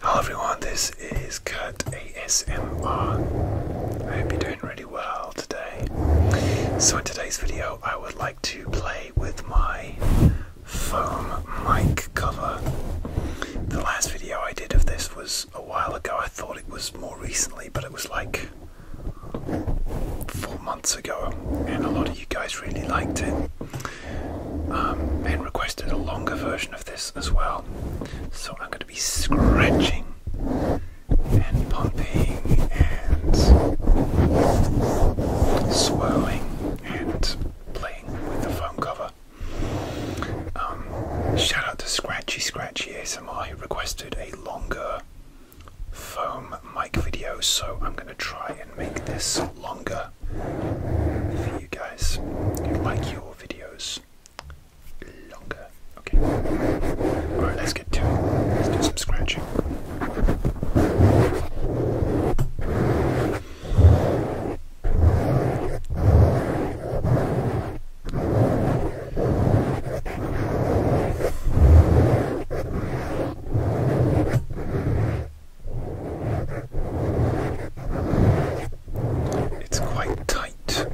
Hello everyone, this is Kurt ASMR. I hope you're doing really well today. So in today's video I would like to play with my foam mic cover. The last video I did of this was a while ago. I thought it was more recently, but it was like four months ago and a lot of you guys really liked it. Um, requested a longer version of this as well, so I'm going to be scratching and pumping and swirling and playing with the foam cover. Um, shout out to Scratchy Scratchy ASMR who requested a longer foam mic video, so I'm going to try and make this longer for you guys like your videos longer. Okay. Alright, let's get to it. Let's do some scratching. It's quite tight.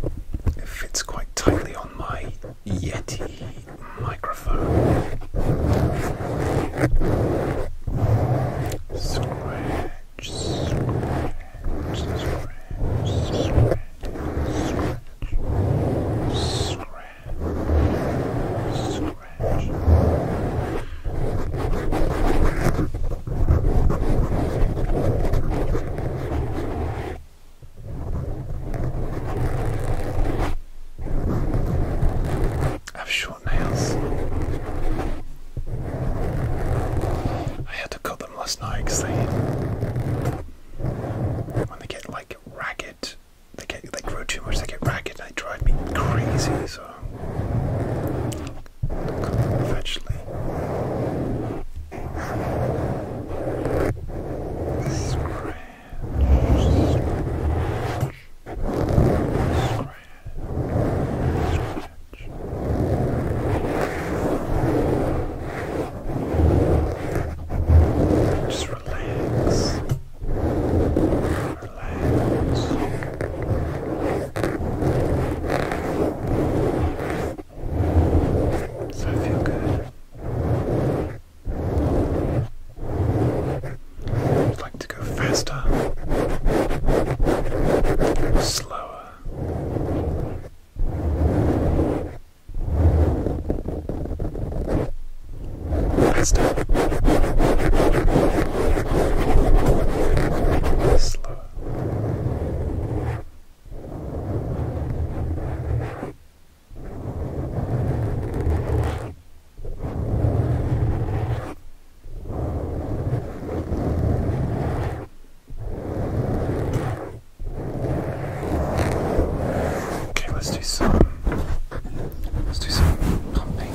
It fits quite tightly on my Yeti microphone. Scratch, scratch, scratch, I have short nails. I had to cut them last night because they, when they get like ragged, they get they grow too much. They get ragged. and They drive me crazy. So eventually. Scratch, scratch, scratch, scratch. Just relax relax. So I feel good. I'd like to go faster, slower. Faster. сонслоо. Okay, let's do some let's do some pumping.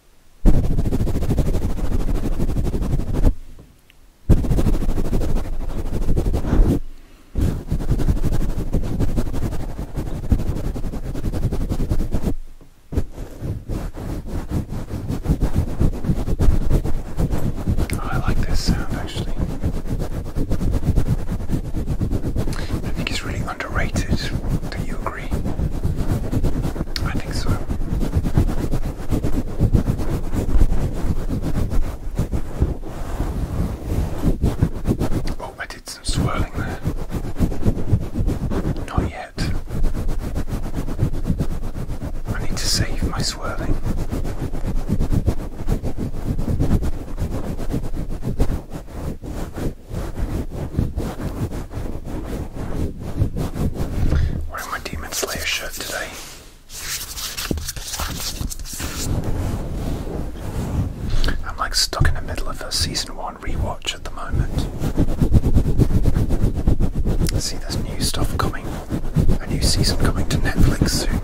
Oh, I like this sound actually. I think it's really underrated. Do you agree? I think so. Oh, I did some swirling there. Not yet. I need to save my swirling. Wearing my Demon Slayer shirt today. I'm like stuck in the middle of a season one rewatch at the moment. See, there's new stuff coming, a new season coming to Netflix soon.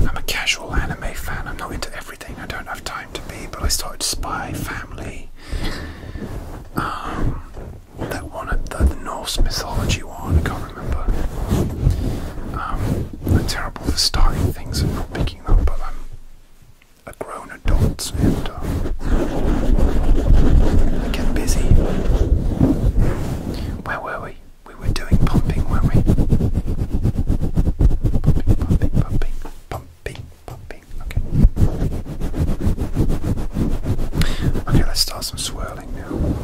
I'm a casual anime fan. I'm not into everything. I don't have time to be. But I started Spy Family. Um, that one, the, the Norse mythology one remember um, I'm terrible for starting things and not picking them up, but I'm a grown adult and uh, I get busy. Where were we? We were doing pumping, weren't we? Pumping, pumping, pumping, pumping, pumping. Okay. Okay, let's start some swirling now.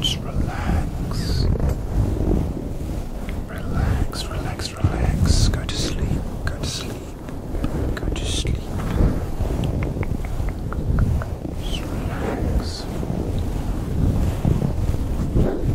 Just relax. Relax, relax, relax. Go to sleep, go to sleep, go to sleep. relax.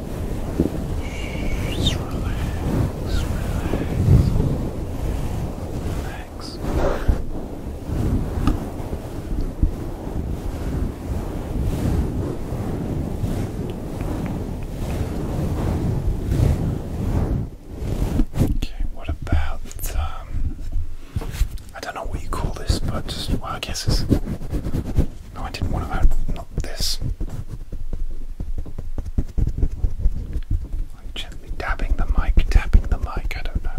relax, relax, relax. Okay, what about um I don't know what you call this, but I guess it's no, I didn't want to. Not this. Like gently dabbing the mic, tapping the mic, I don't know.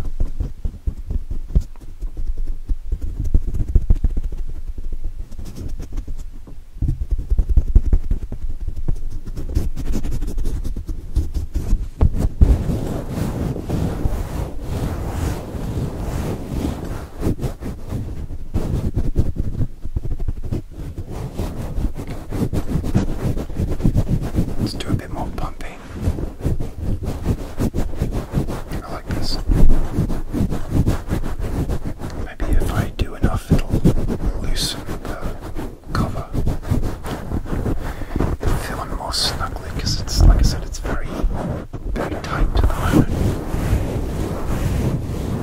Let's do a bit more pumping. I like this. Maybe if I do enough, it'll loosen the cover. feeling more snugly because it's, like I said, it's very, very tight at the moment.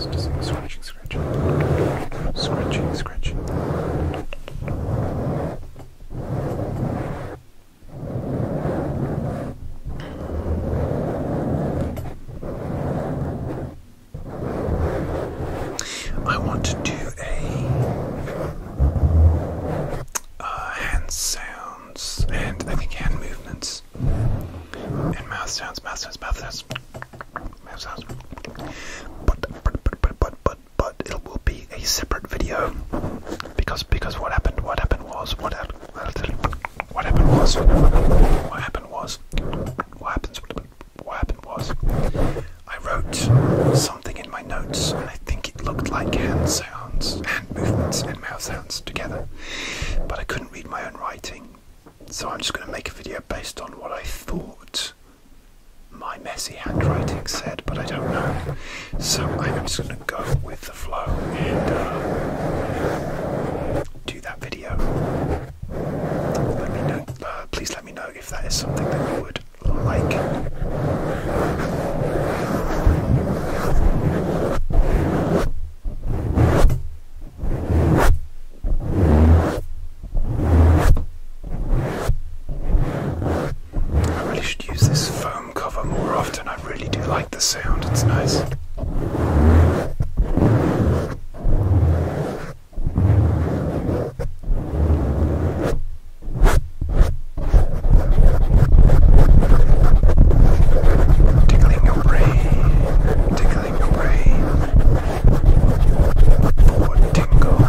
It's just like scratching, scratching, scratching, scratching. I want to do a uh, hand sounds and I think hand movements and mouth sounds, mouth sounds, mouth sounds, mouth sounds. But but but but but but, but it will be a separate video because because what happened what happened was what happened. What happened was, what happened was, what happens, what happened was, I wrote something in my notes, and I think it looked like hand sounds, hand movements, and mouth sounds together, but I couldn't read my own writing, so I'm just going to make a video based on what I thought my messy handwriting said, but I don't know. So I'm just going to go with the flow and uh, do that video. Uh, please let me know if that is something that you would like. I really should use this foam cover more often. I really do like the sound, it's nice. Tickling your brain, tickling your brain. For tingles.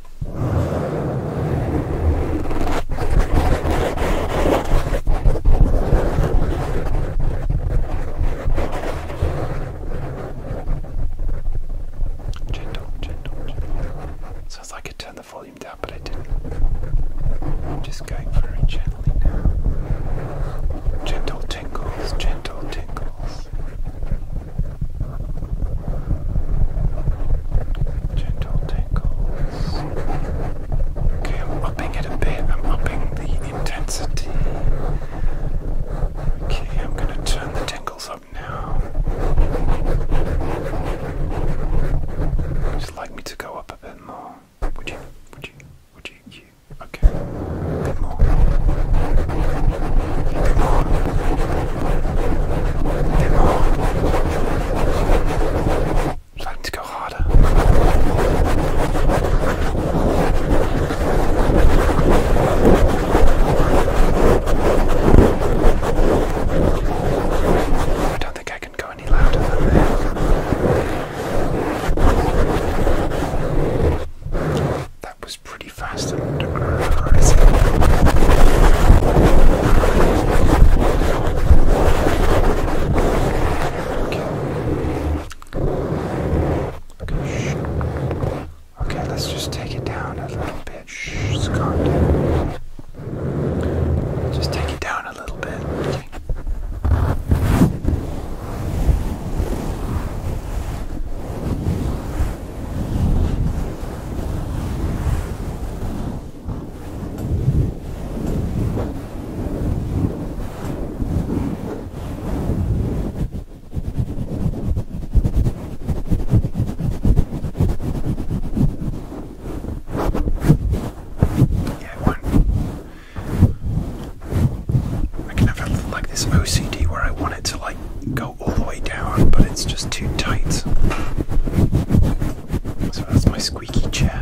Gentle, gentle, gentle. Sounds like I turned the volume down, but I didn't. I'm just going very gently now. Gentle tingles, gentle tingles. Gentle tingles. Okay, I'm upping it a bit. I'm upping the intensity. Okay, I'm going to turn the tingles up now. Would you like me to go up a bit more? Would you? Would you? Would you? Okay. A bit more. Starting to go harder. I don't think I can go any louder than that. That was pretty fast and rising. Okay. Okay. Shh. Okay, let's just take it down a little bit. Shh, it's gone. Just take it down a little bit. Okay one. I can have it like this OCD where I want it to like go all the way down, but it's just too tight. So that's my squeaky chair.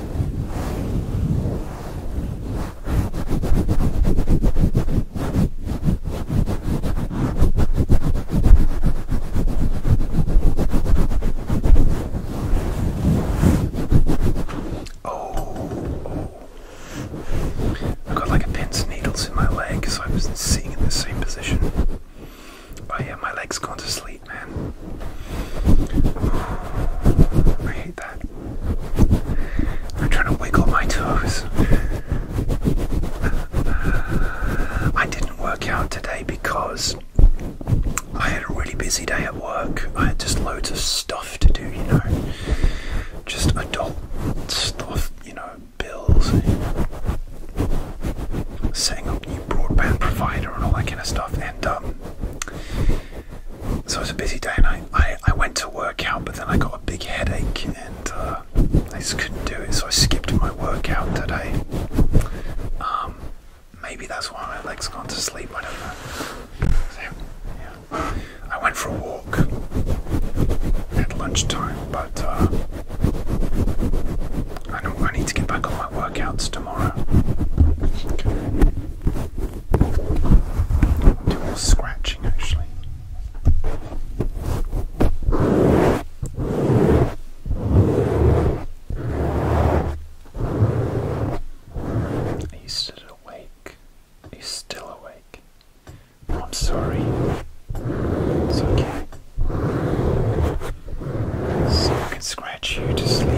Oh, I've got like a pin's needles in my leg, so I was sitting in the same position. Oh yeah, my leg's gone to sleep man. I hate that. I'm trying to wiggle my toes. I didn't work out today because I had a really busy day at work. I had just loads of stuff to do, you know. Just adult stuff, you know, bills, setting up new broadband provider and all that kind of stuff. And um, so it was a busy day, and I, I, went to workout, but then I got a big headache, and uh, I just couldn't do it, so I skipped my workout today. Um, maybe that's why my legs got to sleep, I don't know. I went for a walk at lunchtime, but uh, I, need to get back on my workouts I'll scratching actually. He's still awake. He's still awake. Oh, I'm sorry. It's okay. So I can scratch you to sleep.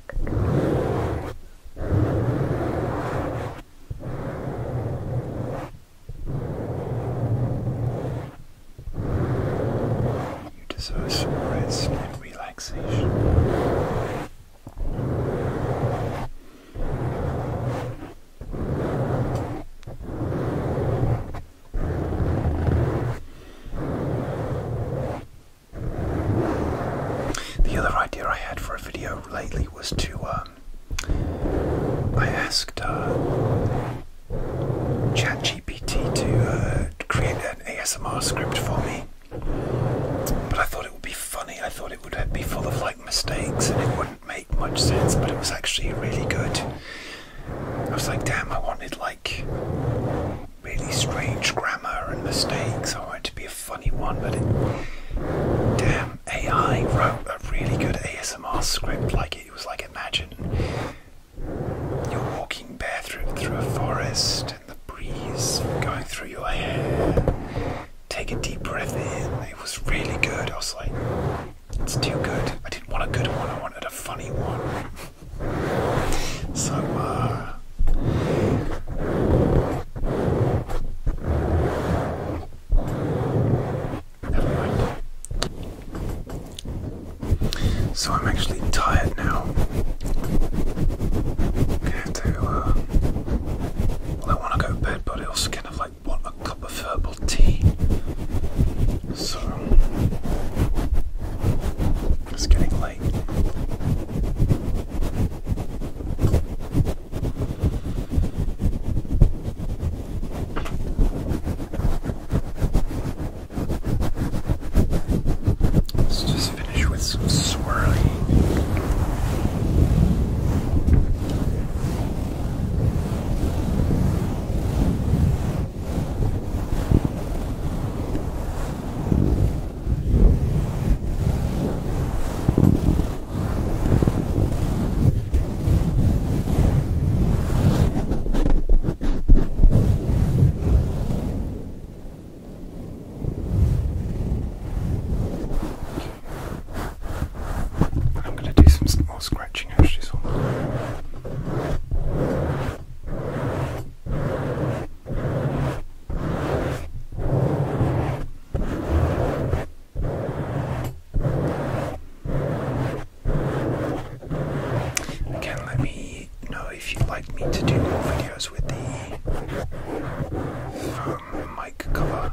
You deserve some rest and relaxation. The other idea I had for a video lately was to, um, I asked uh, ChatGPT to uh, create an ASMR script for me, but I thought it would be funny. I thought it would be full of like mistakes and it wouldn't make much sense, but it was actually really good. I was like, damn, I wanted like really strange grammar and mistakes. Oh, I wanted to be a funny one, but damn, AI wrote a really good ASMR script. Like it, was like imagine you're walking bare through, a forest and the breeze going through your hair. Take a deep breath in. It was really good. I was like, it's too good. I didn't want a good one. I wanted a funny one. so, uh, so I'm actually tired now. I'm going uh, I want to go to bed, but I also kind of like want a cup of herbal tea. So it's getting late. Let's just finish with some swirling. I'm going to do some more scratching actually. So. Again, let me know if you'd like me to do more videos with the um, mic cover.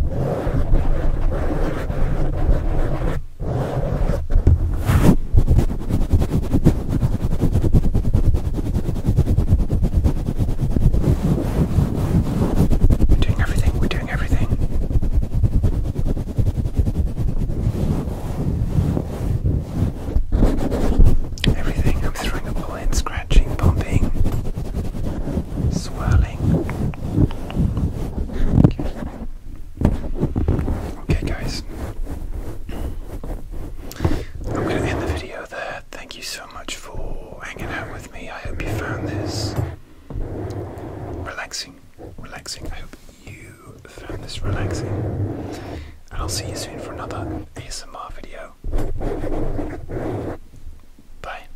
We're doing everything, we're doing everything. Everything. I'm throwing a ball in, scratching, bumping, swirling. Okay, guys. I'm going to end the video there. Thank you so much for hanging out with me. I hope you found this relaxing. Relaxing. I hope you found this relaxing. And I'll see you soon for another ASMR video. Bye.